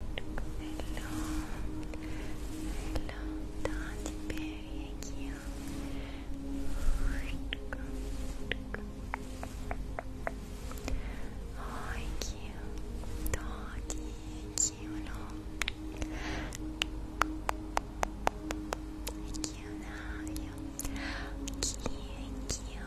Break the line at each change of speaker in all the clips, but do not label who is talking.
Hello, hello, да, теперь я Ой, Кио, Тоди, Кио, Кио, Кио, Кио,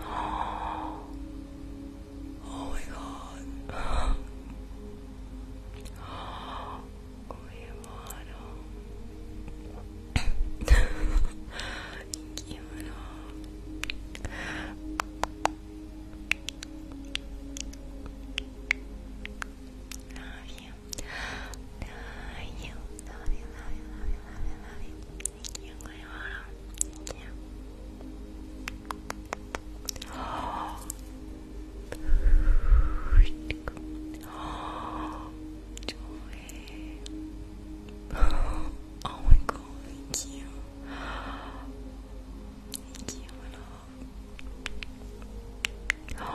Oh, oh my God. Love you. Love Love you, love you, love you, love you, love you. Thank you, my heart. Oh. Oh. my god, thank you. Thank you, Oh.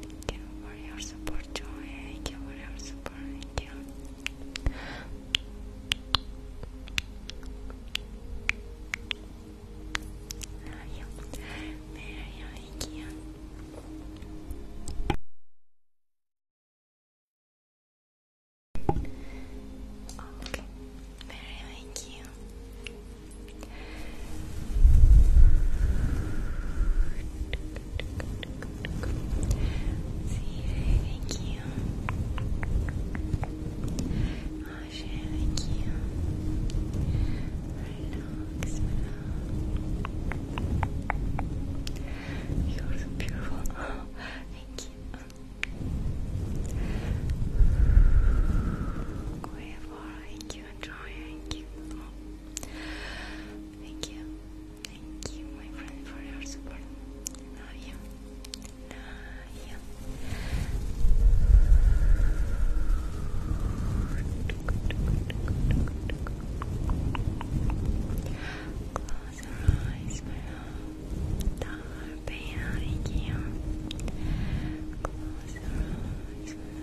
Thank you for your support, Joy. Thank you for your support. Thank you. Mario, Mario, thank you. Okay, Mario, thank you. See, thank you. Asha, thank you. Relax, relax. You're so beautiful. thank you. Cueva, thank you, enjoying. Oh. Thank you. Thank you, my friend, for your support. Love you. Close your eyes, my love. Dar Close your eyes,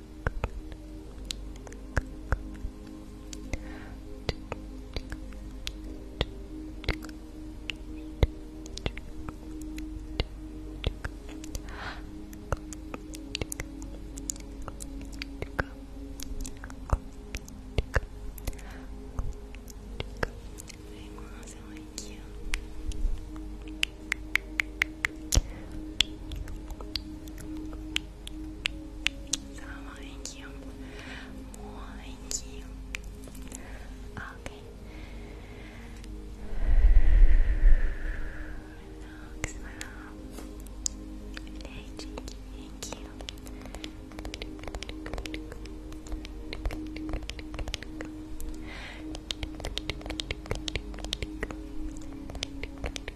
Hey, Marcel, thank you. Thank you. Thank you. Okay. Relax,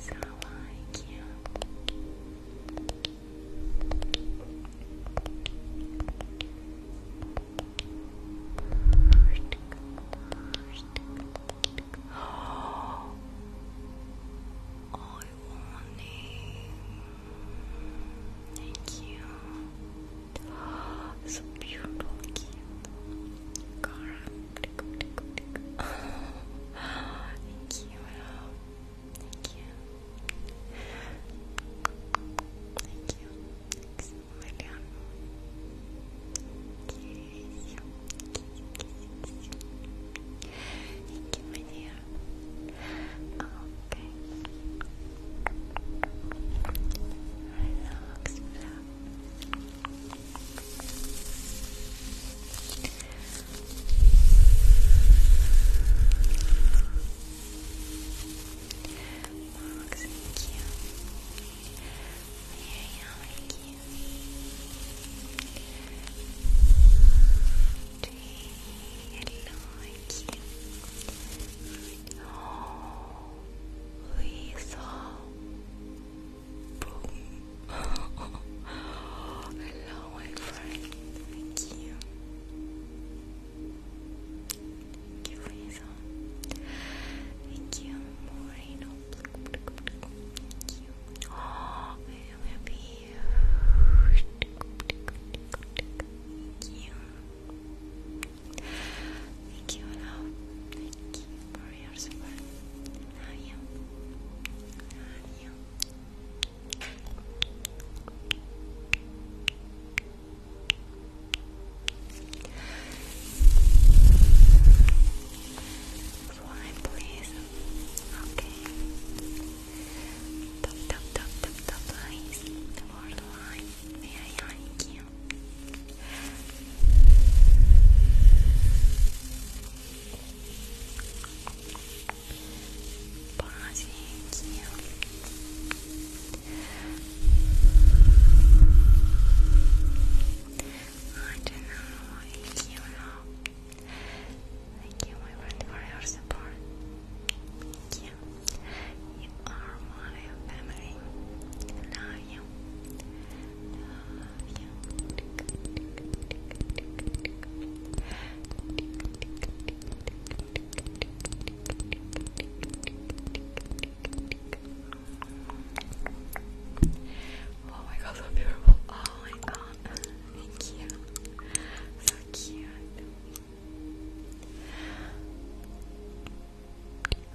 So like you. I want it. Thank you. So beautiful, cute. Cara, tickle, tickle, Thank you. Thank you. Thank you. Thanks a million. you. Kiss you, kiss you, kiss you. Thank you, my dear. Okay. Relax, relax. Relax, Moxie, cute. Very cute. Tree, hello, cute. Oh, Lisa hello, my friend. Thank you. Thank you, Lisa. Thank you, Moreno. Thank you. Oh, I am happy. you. Thank you, Thank you, for please. Okay. Top, top, top, top, top lines. The word line. May I you? I don't know, thank you know. Thank you my friend for your support. Thank you. You are my family. love you. Oh my god, so beautiful. Oh my god. Thank you. So cute.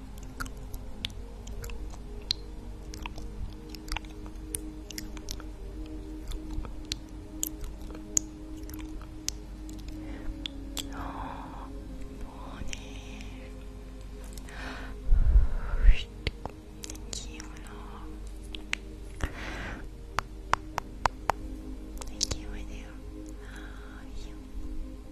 もうね気温の勢いだよああいいよ。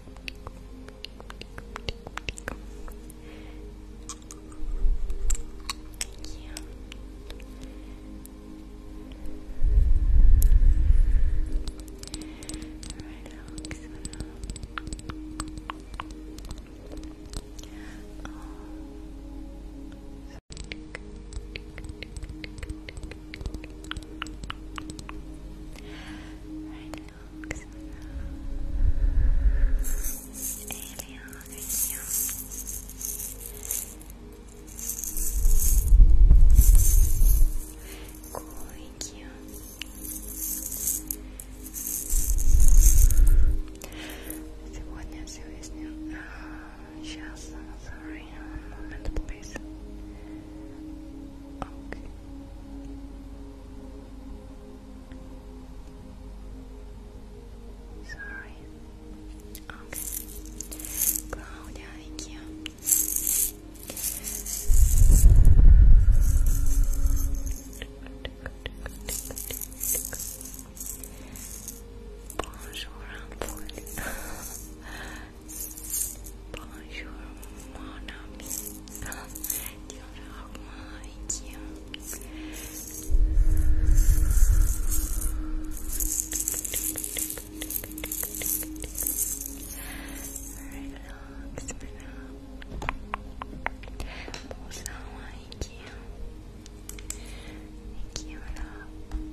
Yeah. Relax. Сегодня все выяснил. Сейчас, sorry, момент был face. Okay. Sorry. Okay. thank you. Bonjour, Bonjour, mon ami. Diorama, Ikea. Relax, madame. Bonjour, Ikea. Ikea, madame.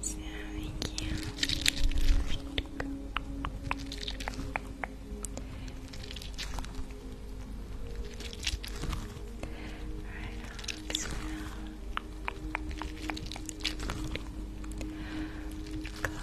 So thank you. Alright, close your eyes.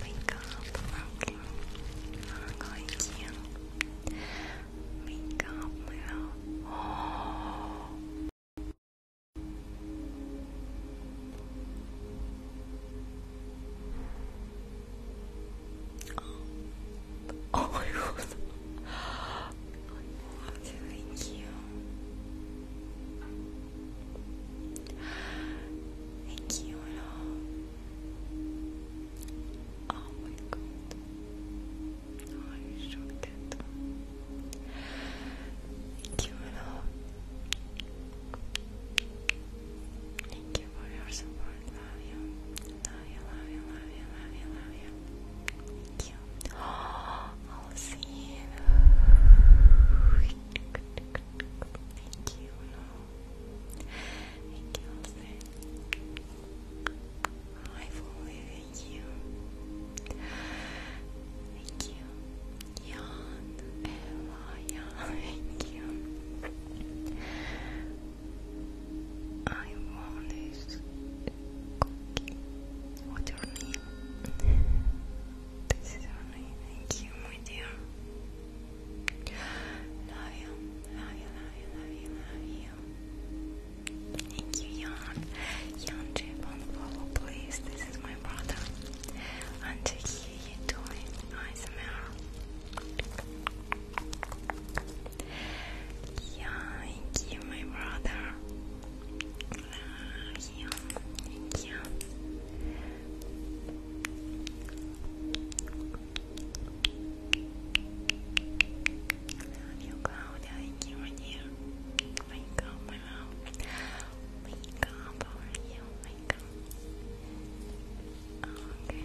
Wake up, Rocky. Nargoitia. Wake Oh. my god. Oh my god, thank you. Thank you and Oh my god. Oh, you should get Thank you and Thank you for your support. Love you. Love you, love you, love you, love you, Thank you. I'll see you. Thank you. Thank you, Jose. Hi, Foley. you. Thank you. Jan, Ella, Jan. Thank you. I want this cookie. What's your name? This is only thank you, my dear. Love you, love you, love you, love you, love you. Thank you, Jan. Jan Jib please. This is my brother. And to hear you doing ASMR. Yeah, thank you, my brother you. Thank you. Love you, Claudia. Thank you, my dear. Wake up, love. Wake up, how you? Wake up. Okay.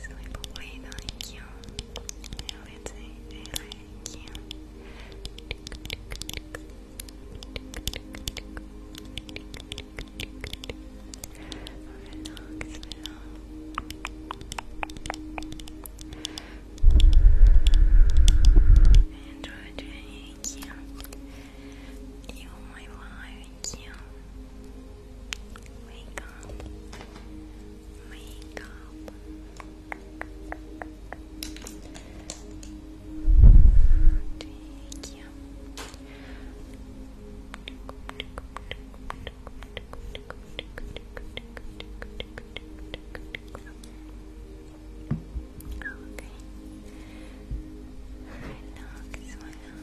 Sono i popoli d'orecchio e orecchie e orecchie Relax, relax You, my wife, Thank you. Wake up. Wake up. Thank you. Okay. Thank you.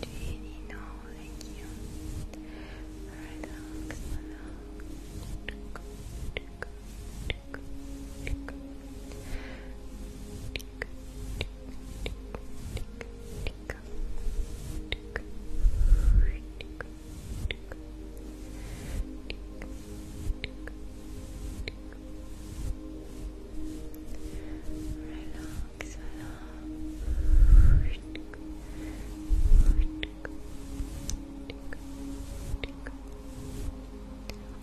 Do you need Thank you. Relax, relax.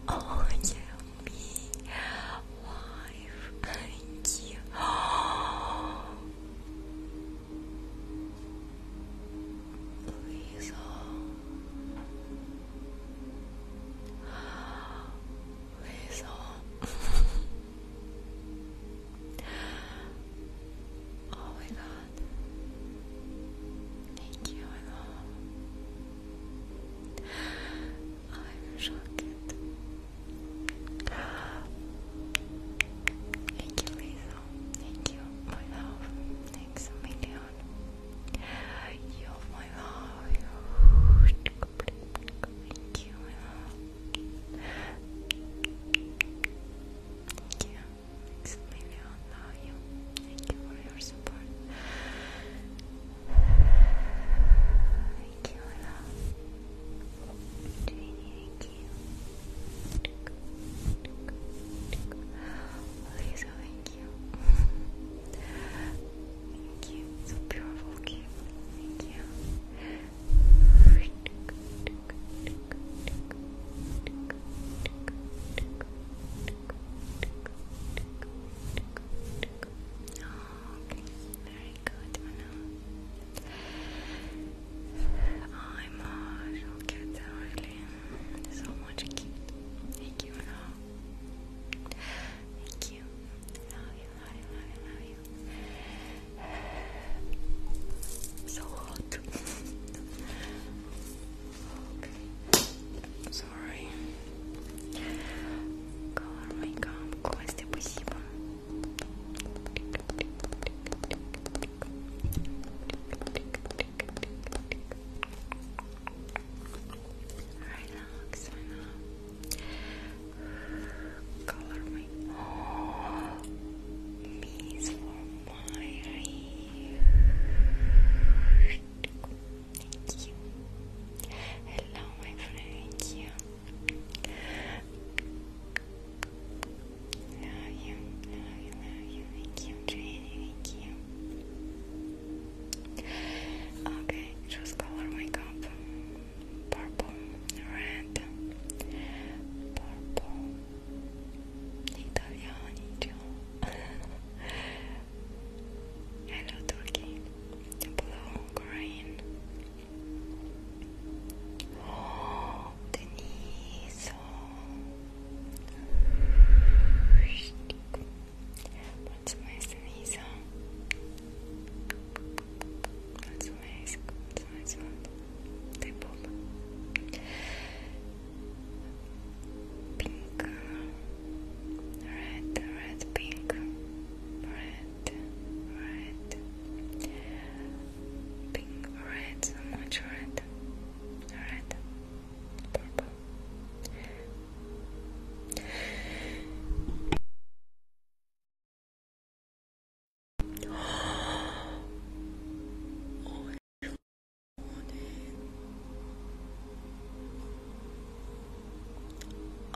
Oh yeah, me live. Thank you. Please. Please. oh my god. Thank you, I know. Irish rocket. Thank you, Lisa. Thank you, my love. Thanks million. You're my love. Thank you, my love. Thank you. Thanks million. Thank you for your support. Thank you, love. thank you. Lisa, thank you. So beautiful, Thank you very good, Anna. Ay, Marshall, cats are so much cute. Thank you, Thank you. Love love you, So hot sorry. Color makeup, Костя, спасибо. Relax, I Color me. Oh, for my. Thank you. Hello, my friend. Thank you. love you. love you. love you. Thank you, Jenny. Thank you. Okay, just color my cup. Purple, red, purple. Italiani. Hello, Turkey blue, green. Oh, Denise. Oh. What's nice, Denise? What's nice? What's nice one? They both. Pink, red, red, pink, red red, red, pink, red, so much red, red, purple. Oh,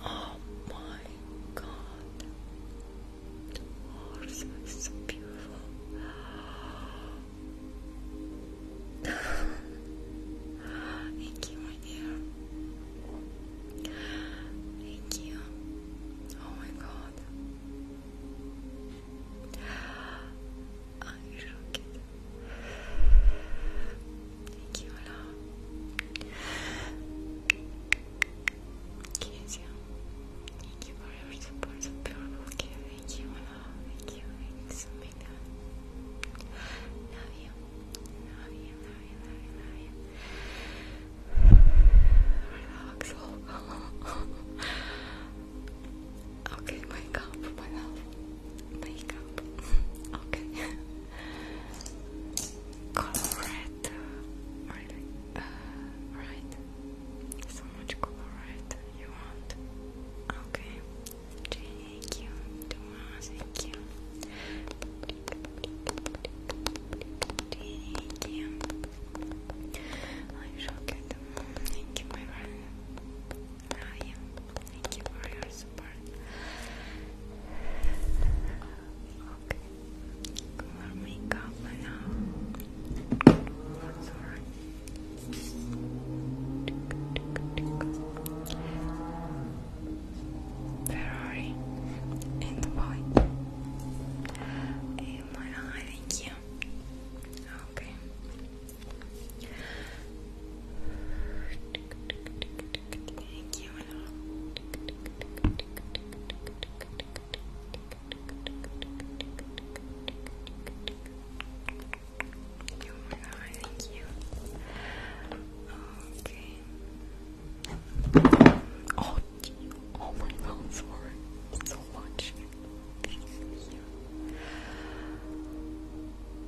Oh my god, the horse is so beautiful. Thank you, my dear. Thank you. Oh my god. I shook it. Thank you, Ola. Kezia, thank you for your support. So beautiful, Thank you, Thank you. Thanks so Love you. Love you, love you, love you, love you. Relax, Okay, wake up, my love. Wake up. Okay. Colorado, uh, really, uh, right? So much Colorado you want? Okay, thank you, Thomas, thank you. Thank you. I shall get them. Thank you, my friend. Thank you for your support. Okay, color makeup now. Ferrari in the boy. Am I hiding you? Okay. Thank you, Anna. You are thank you. Okay. Oh, oh my god, So much.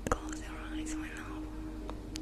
Close your eyes, my love.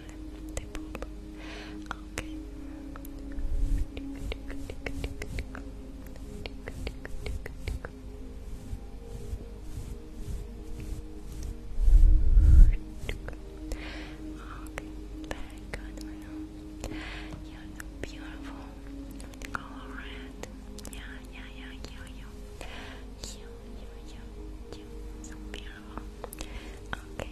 they Okay. Okay, you beautiful. All red. Yeah, yeah, yeah, you, you. You, you, you, you. beautiful. Okay,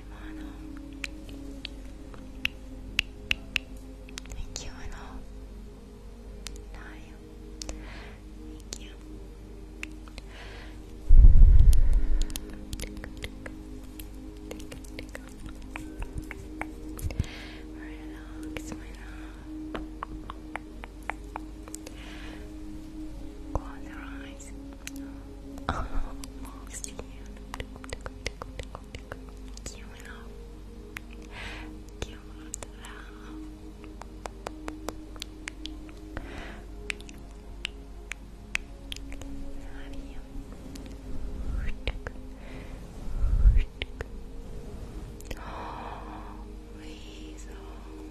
Imano. Thank you, Ano. Nayo. Thank you. Relax, my love. Close your eyes. Almost here. Camera. Camera. Oh, Weasel. Oh.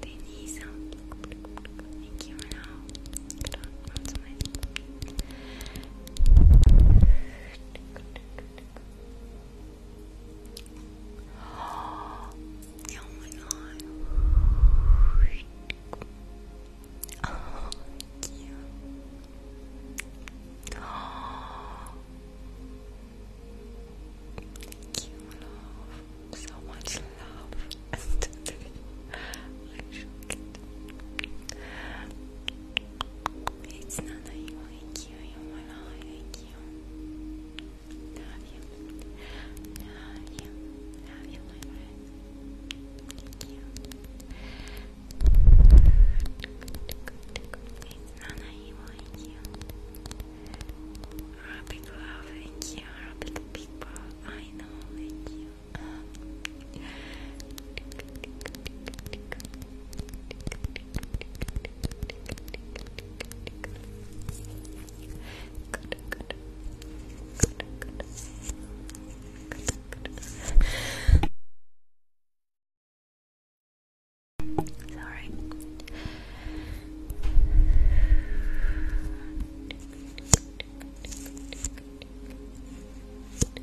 Denise, thank you, and I'll put on lots of my Oh my god. Oh, Thank you, So much love. It's not that you like you, you want to you. Have you? you? Have It's not that you like you. Rabbit love, you. Rabbit people, I know, thank you. Sorry. Good,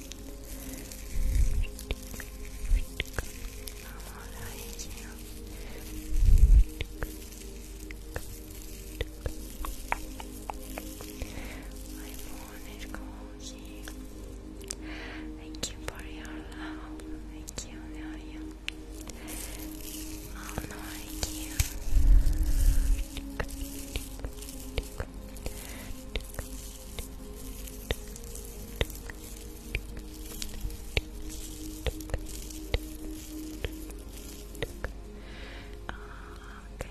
Thank you for your love. Thank you, now you. Oh no, Thank you. Okay.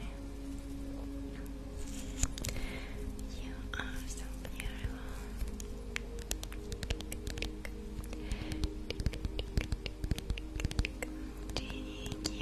You are so beautiful. Thank you.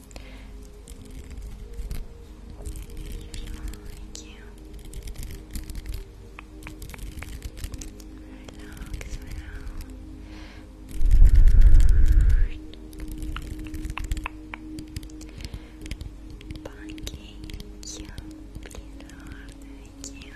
Thank you. Relax now. Punky, you Thank you.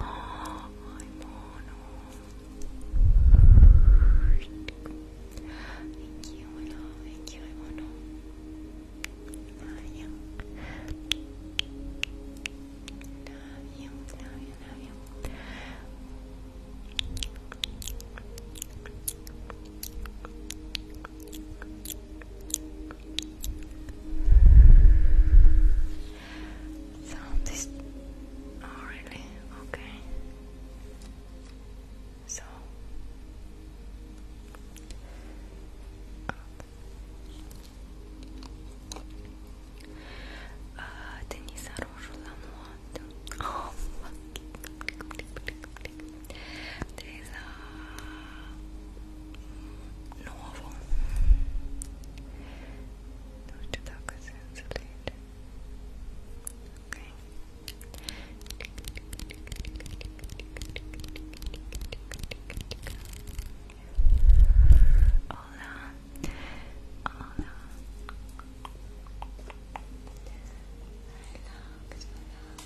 Oh, my mono. Thank you, mono. Thank you, mono. Love you. Love you, love you, love you. So this oh really okay. So uh, Denisa Roche Lamour hot. Oh, fuck. Teresa. Nuovo. Don't you talk sense later. Okay. Hola.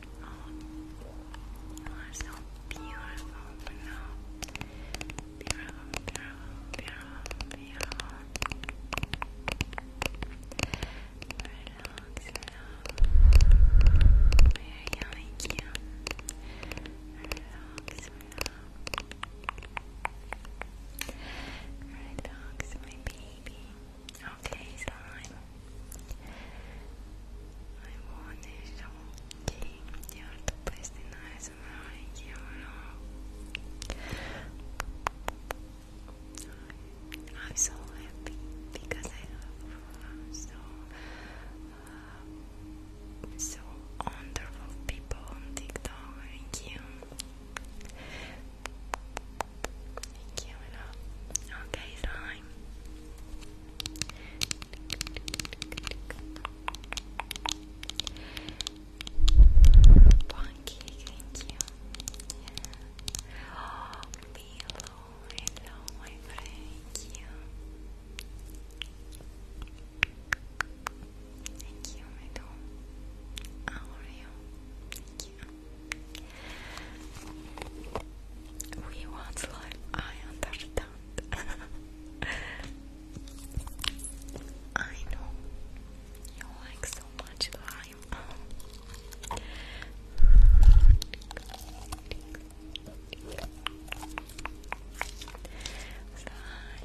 Oh, you so beautiful, Bruno. Beautiful, beautiful, beautiful, beautiful. Relax, relax. We are yelling you. Relax, relax. baby. Okay, slime. Hayvanların yurtdıpesini her zaman yiyorum. I'm so happy because I love so so wonderful people on TikTok. Thank you. Thank you. Okay, slime. Bonky, thank you. Yeah. Oh, Milo, my friend. Thank you. Thank you, my doll. Thank you. We want life. I understand. I know you like so much lime. Slime, slime, slime, slime,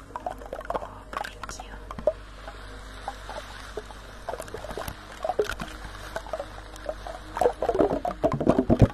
Oh, thank you. Bucket. Relax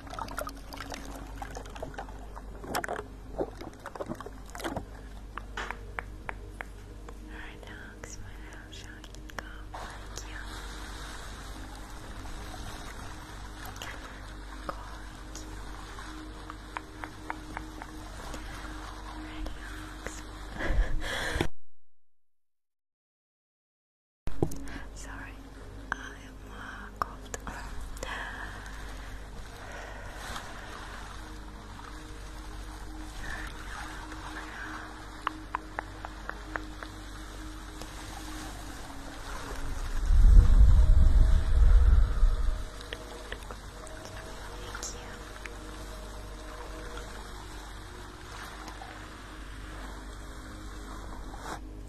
our dog smiles, shocking cough like you. Calling you. Our dogs. Sorry, I am uh, coughed. Thank you.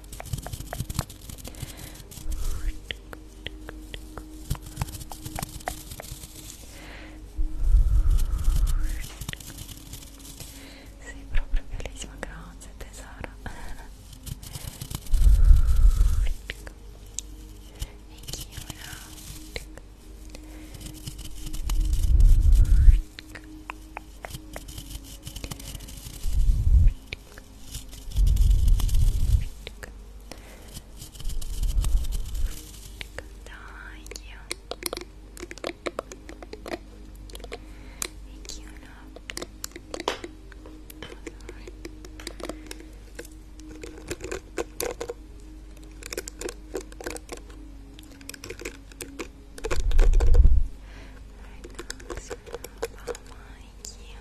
Sei proprio bellissima, grazie tesoro. Thank you. Now. Thank you. Thank you, love. Alright, now it's about my Thank you.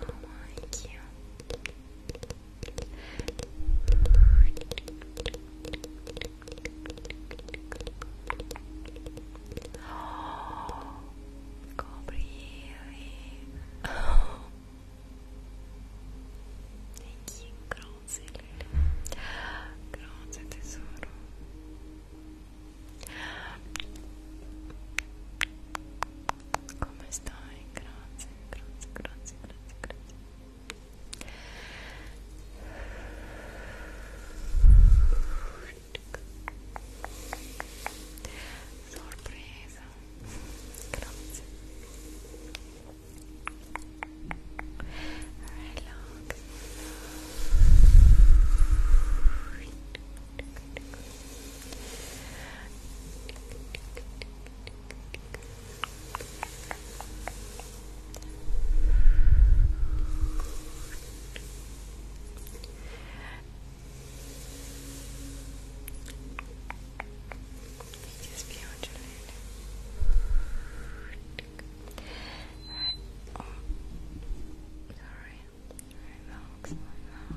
Oh, thank you. Oh, coprivi oh. e chi grazie grazie tesoro come stai? Grazie, grazie, grazie, grazie, grazie. sorpresa grazie relax Relax. It is beautiful. Right. Oh. Sorry. Right now looks like now.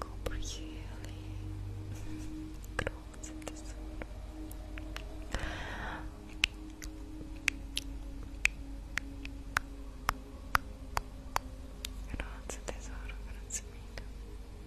Compre ele. Grossa tesoura. Grazie tesoro, grazie mille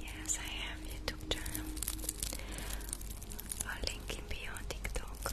Yes, I have YouTube channel. I'll link in bio TikTok.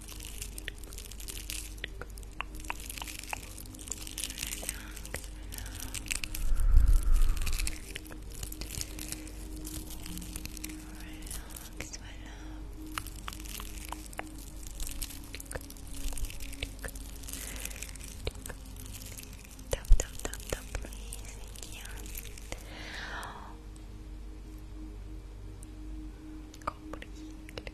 Tap, tap, tap, tap, please. Thank you comprendere grazie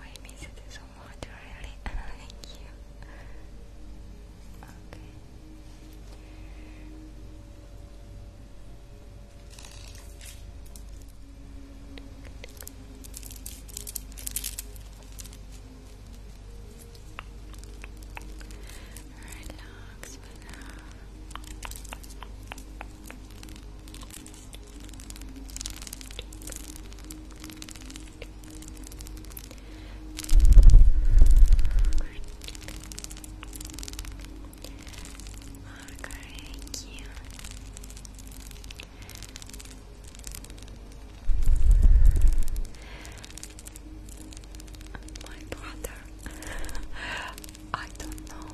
I miss it so much, really. Thank you. Okay relax Thank you. My brother, I don't know.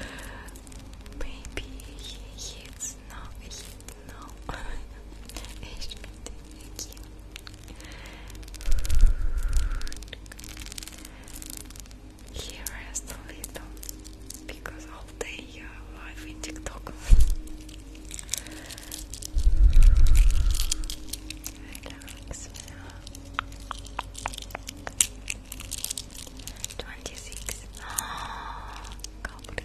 Maybe he hits no, hit He rests a little because all day you are live in TikTok. relax, relax. 26. Oh, cobre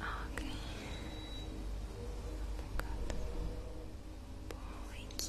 Okay. Bom, aqui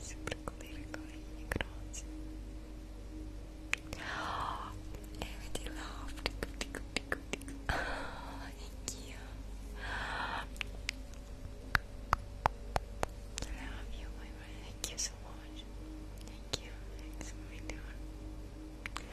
Sempre com le vergogne grosse. Oh, Amity laughed. Oh, thank you. I love you, my friend. Thank you so much. Thank you. Thanks for my time.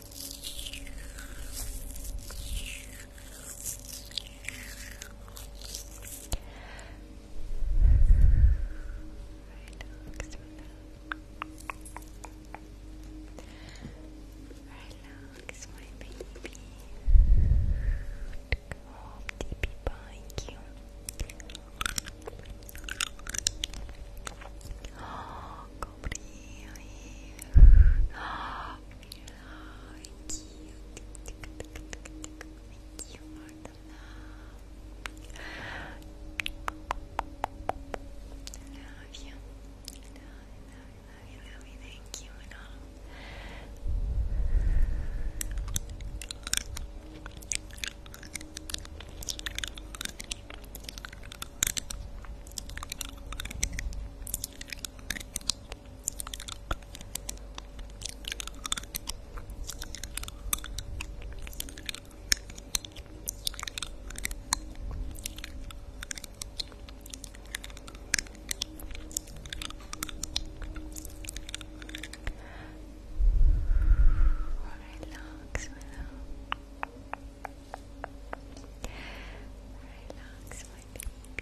Relax, my baby. Oh, baby, thank you. Oh, Gabriel. Thank you I love you. I love, I I love you, I love you. Thank you Relax, my love. Relax, my baby.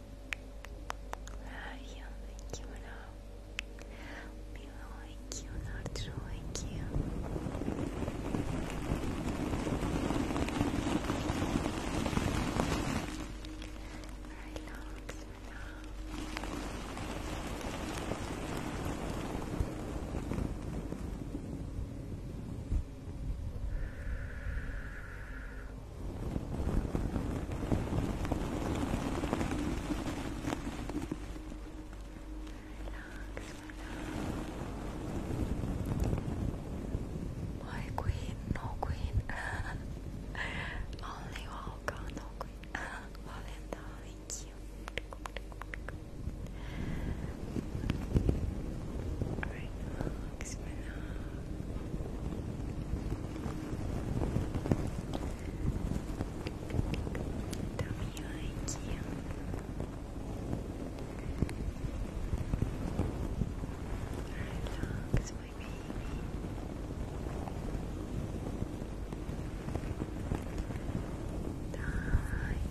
Rayo, thank you, Milo, thank you, Nacho, thank you. Relax, Relax. My queen, no queen. Only Olga, queen. Valenta, thank you behind you. Relax, my baby.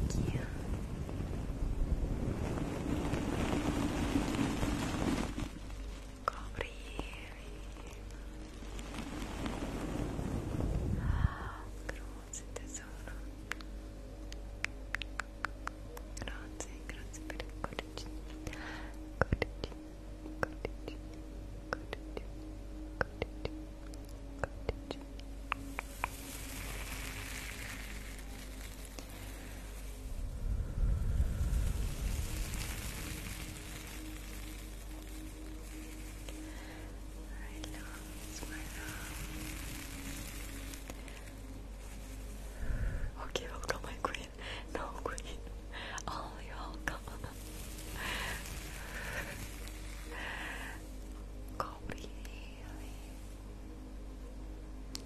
Thank you coprire ah, grazie tesoro grazie, grazie per il codice codice, codice, codice, codice, codice Relax, relax. Okay, welcome, my queen. No, queen. Oh, you're welcome.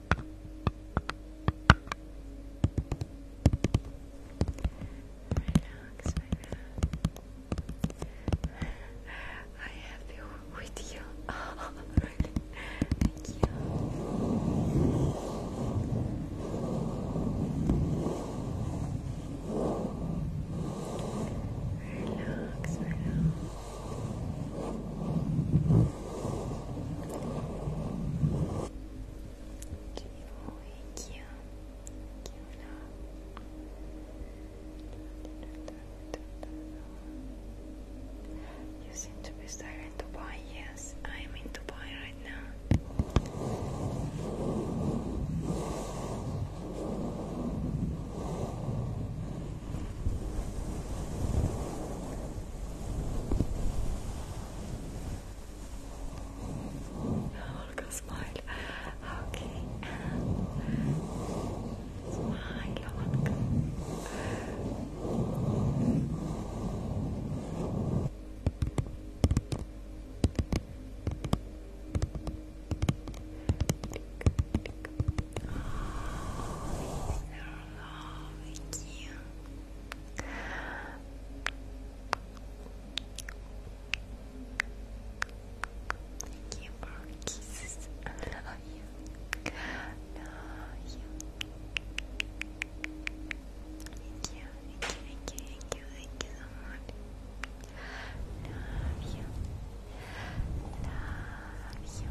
Relax, my I have you with you. really? Thank you. Relax, relax. You seem to be silent. Dubai. Yes, I am in Dubai right now. Now Olga smile. Okay, and smile, Olga. Oh, love you. Thank you for kisses. I love you. Love you, thank you, thank you, thank you, thank you so much. Love you. Love you.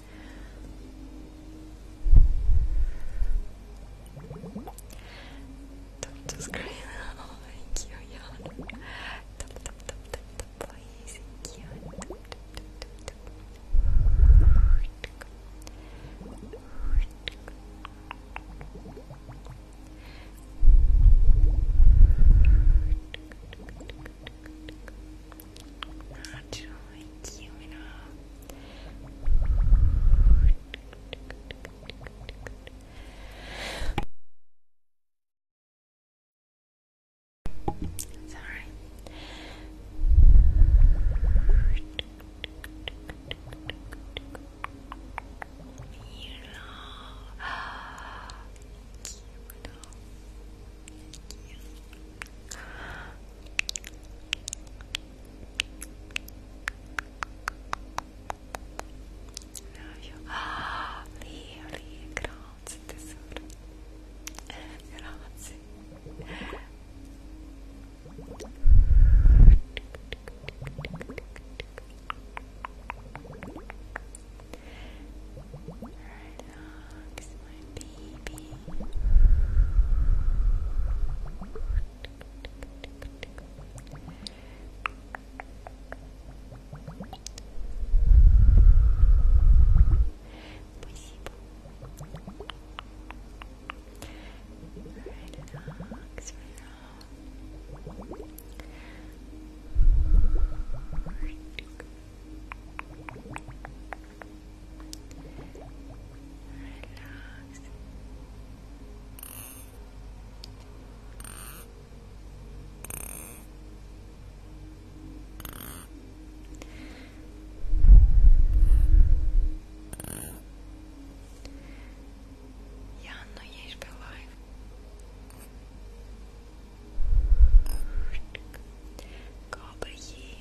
Don't thank you, Tap, tap, tap, tap, tap, please. Thank Tap, tap, tap, tap not like you enough. Sorry. You know, Thank you. Não, eu... Ah, ali, ali, grazie tesouro. Grazie. Relax, my baby. Спасибо. Relax, relax. Good. Relax. Janno, jesteś alive. Gabriele.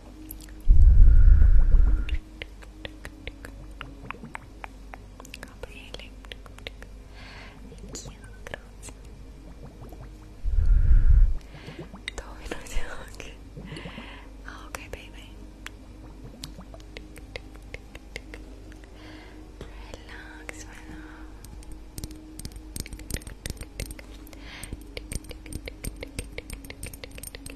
Thank you, okay, baby. Relax, my love.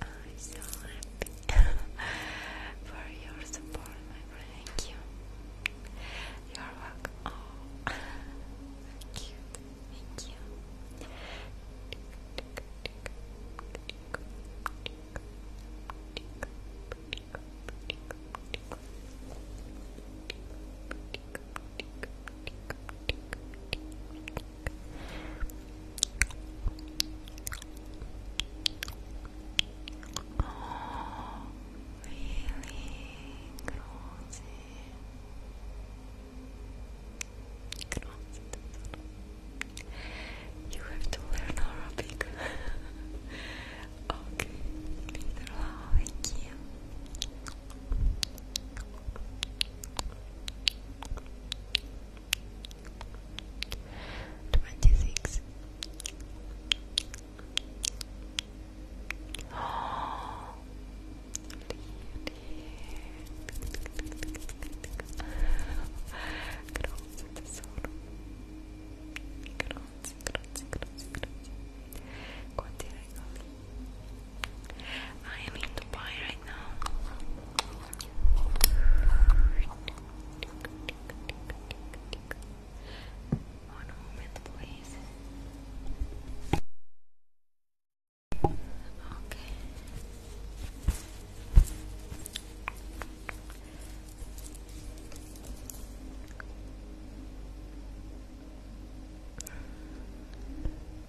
I'm so happy for your support, my friend. Thank you. You're welcome. Oh, cute. Thank you. Oh, really cozy. You have to learn Arabic. okay, Peter, how you? Twenty six. Oh. Grazie tesoro. Grazie, grazie, grazie, grazie. Quanti regali. I am in Dubai right now. One moment, please. Okay.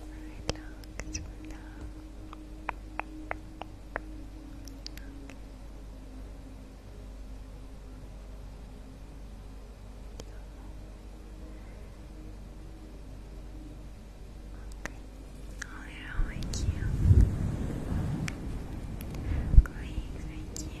Relax now. Okay. Oh, they're all really cute. Great, thank you.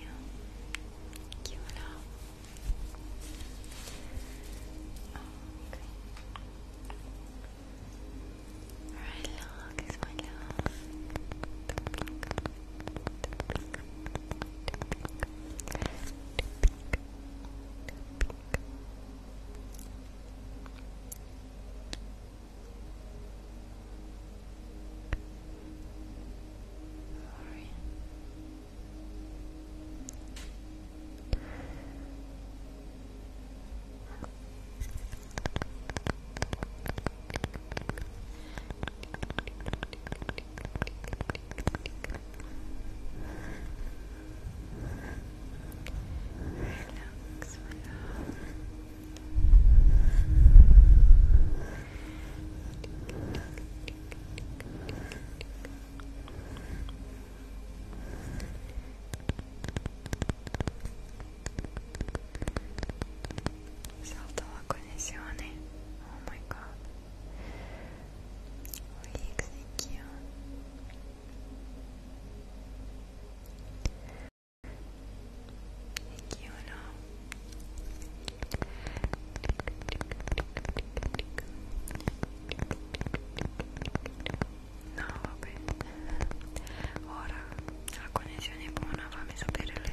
you. Thank you, my love. Sorry. Relax, relax. Salta la Oh my god. Leaks, thank you. e chiudo no vabbè ora la connessione è buona fammi sapere le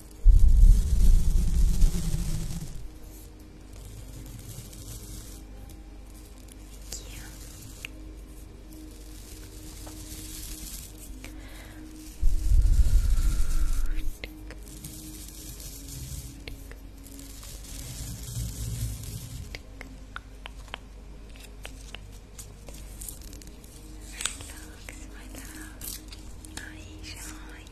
Thank you. Relax, my love. I shall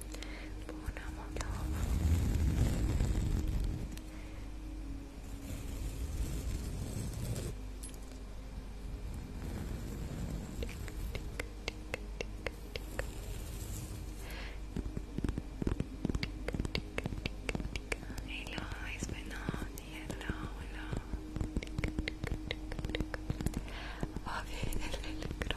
Buona Moldova. Hello, it's Benoni. Hello, hello. Va bene,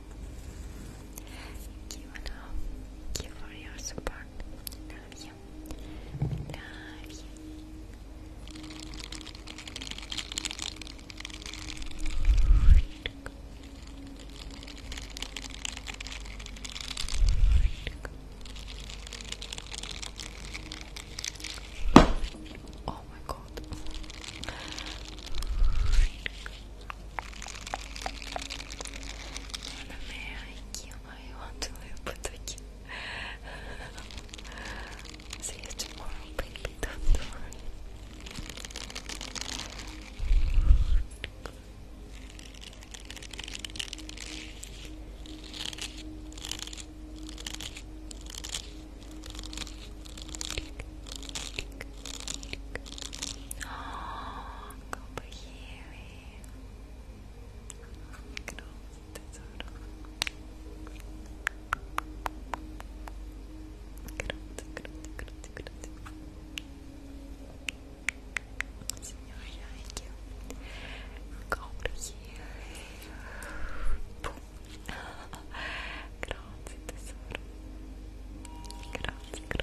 Thank you, and thank you for your support. Love you. Love you. Oh my god. Anime, I want to live but I can't. See you tomorrow, baby, don't worry. Tick, tick, tick. Oh, compliqué. Grosso tesouro. Grosso, grosso, grosso, grosso. Senhor, ai que compliqué. Pum. Grosso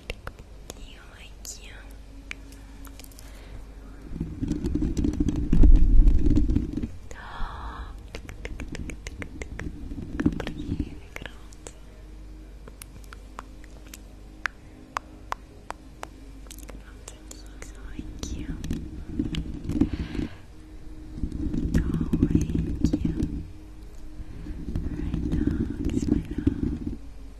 You like you. Comprei, pronto. Pronto, like you. Oh, like you. Right now, it's my love.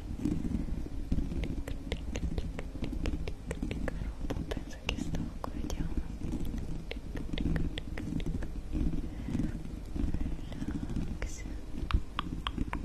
roba penso che stocco vediamo relax relax my love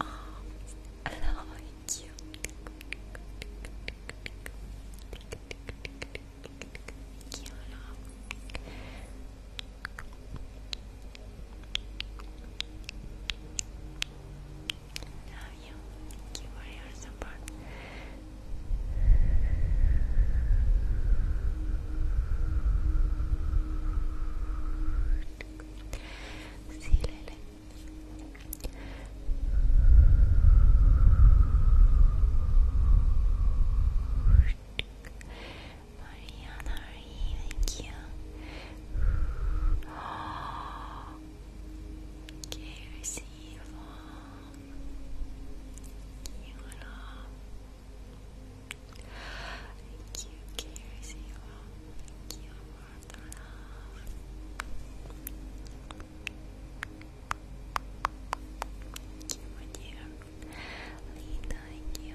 I like you. Love you. Thank you for your support. Zilele. Mariana, are you thank you? Oh, Kersi Yvonne. You love. Thank you, Casey. Thank you for the love. Thank you, my dear. Lee, thank you.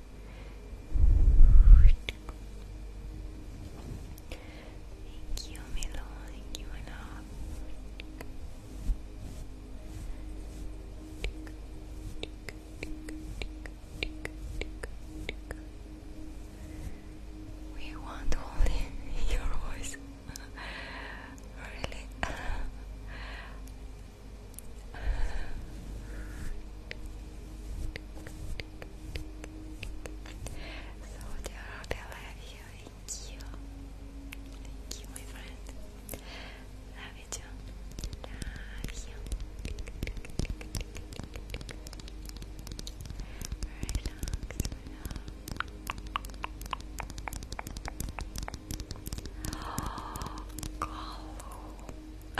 Thank you, Milo. Thank you, Anna. We want only your voice. really? So dear Rob, you. Thank you. you, my friend. Love you Love you. Relax, relax. Oh,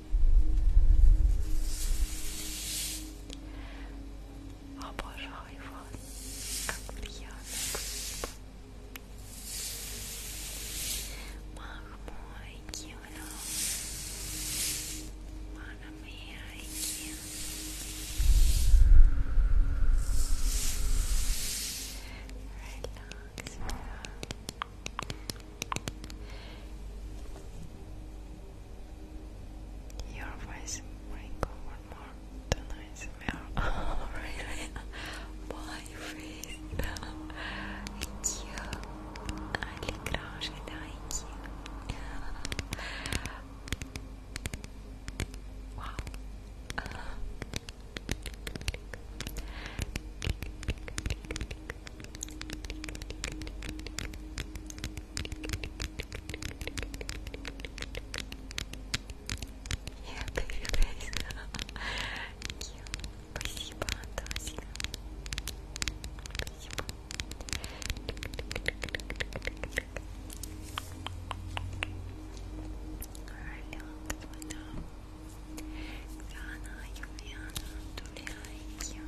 Обожаю вас, как приятно красиво. Махмой кивно, манамейки. Relax, relax. Your voice wrinkle one more tonight's mirror. Oh, really? My face. Cute. I like it. Wow. Uh -huh. Click, click, click, Я перерез. Спасибо, Тасина. Спасибо. Алло, кто там? Зана, Юлиана, Дуляйки.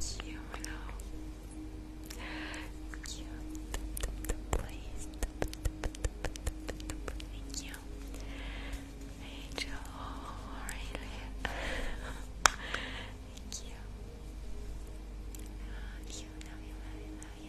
Thank you, my love. Thank you. Please. Thank you. Angel, really. Thank you. I love you.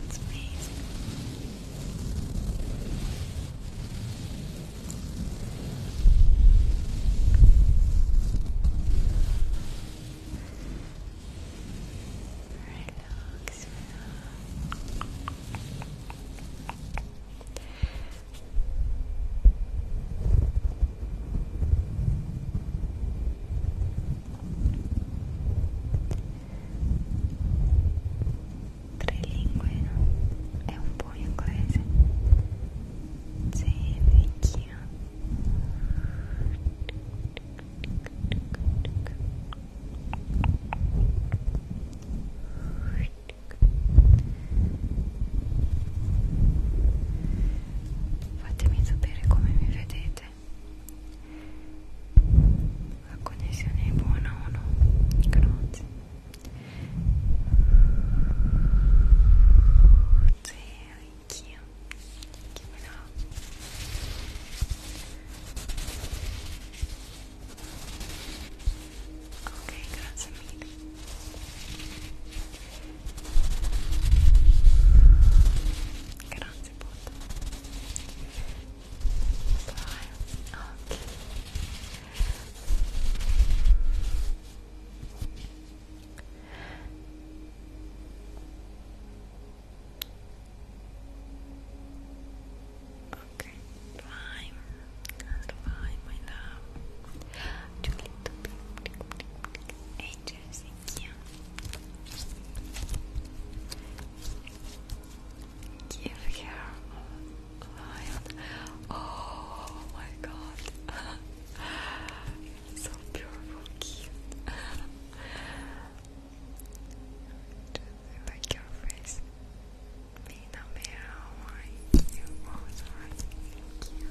That's amazing. Relax, relax. Relax. tre lingue e un po' in inglese sei vecchia fatemi sapere come mi vedete la connessione è buona o no? Grazie. Sì, anch'io. Che me la... Ok, grazie mille. Grazie. Mr. Bot. Okay. Okay, fine. my love. Too little Thank you. Give her Oh my god. so beautiful, cute. Just like your face. Me no meow. You oh, sorry. thank you.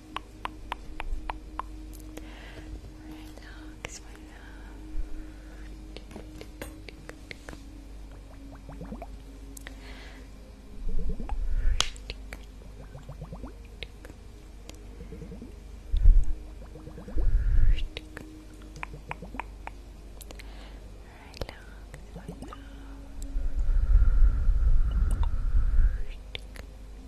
Relax, my love. Relax, my love. Relax, my love.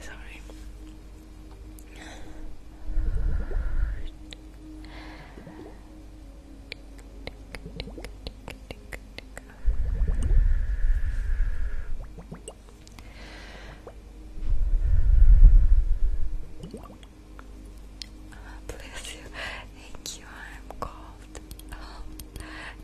Sorry. Bless you. Thank you. I'm cold.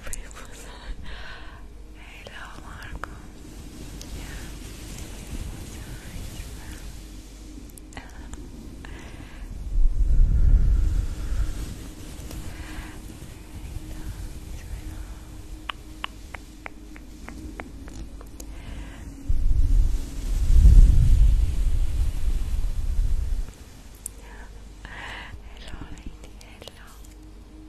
Hello, Marco. Hello, Hello.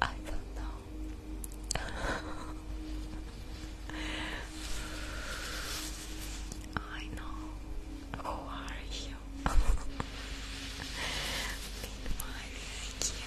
I don't know. I know. Who are you? Meanwhile, thank you.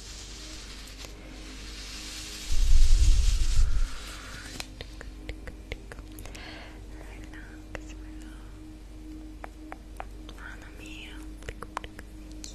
Relax, bro. Mano mio. Cute. Relax,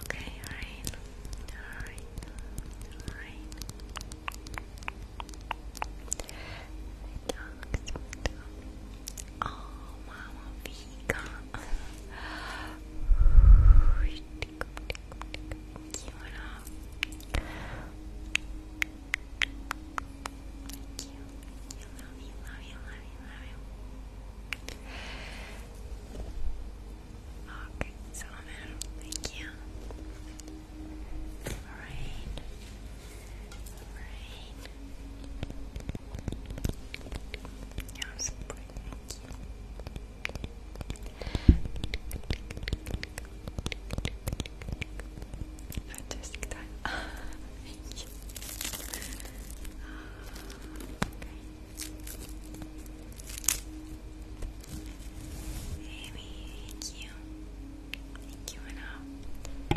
Okay, all right, all right, all right. Oh, mama Vika. Cute. Cute. You love you, love you, love you, love you. Okay, Thank you. Alright. Right. Yes, Fantastic time. Thank you. Amy, thank you. Thank you, Anna.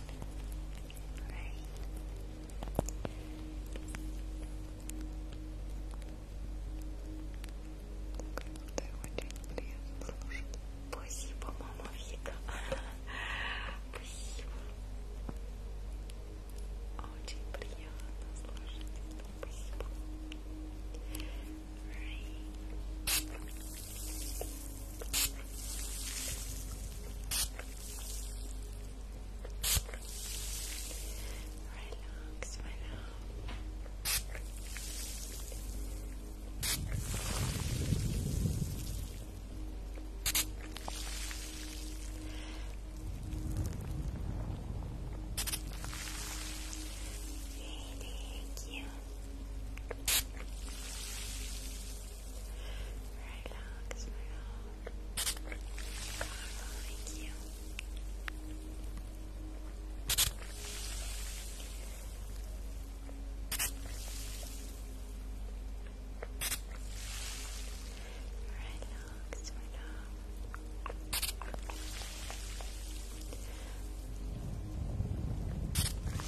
очень приятно слушать. Спасибо, мама Вика. Спасибо. Очень приятно слушать. Спасибо. Relax, my thank you. Relax, my heart. Carl, thank you. Relax, my love.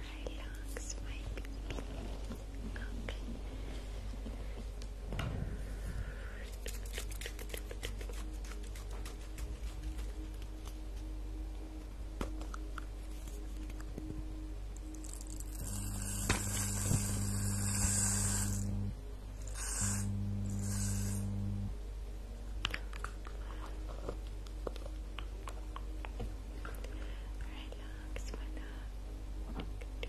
Relax, my baby. Okay. Relax, Relax, my love. Relax,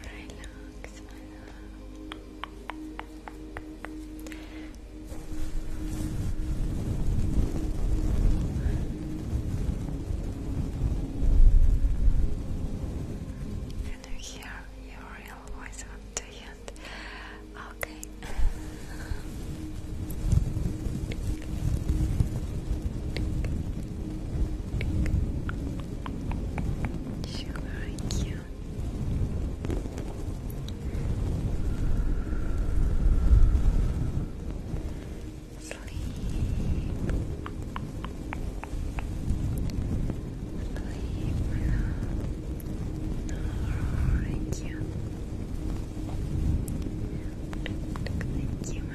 Relax, Can you hear your real voice on the end? Okay. She's cute. Sleep. Sleep, my love. Thank you.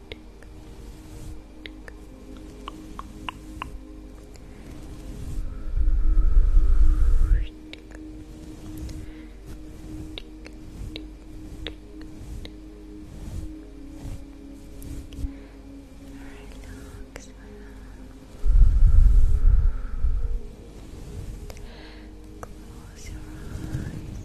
Relax. Close your eyes.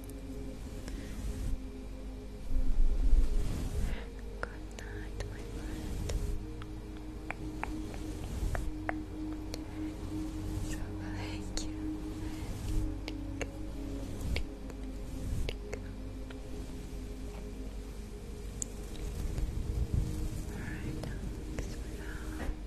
Good night, my friend. So thank you. Alright,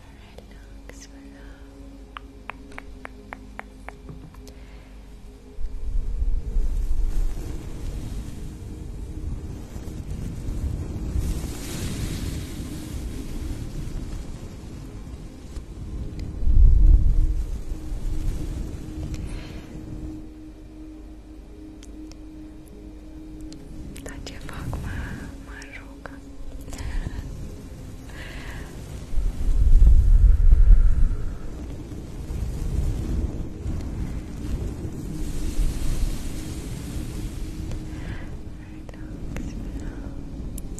red knocks for love. da stroke. Relax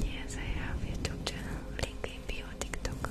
Yes, I have YouTube link in bio, TikTok.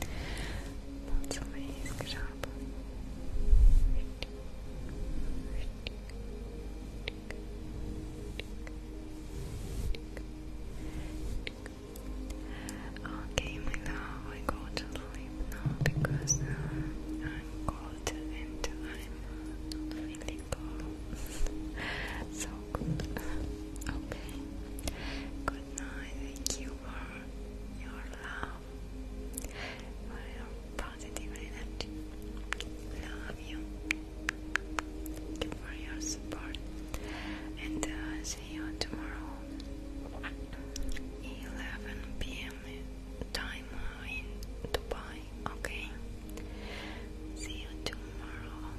That's amazing Okay, my I go to sleep now because uh, I'm cold and I'm not feeling cold. so good. Okay. I Thank you for your love, for your positive energy. Love you. for your support. And uh, see you tomorrow, 11 p.m. time uh, in Dubai. Okay. See you tomorrow.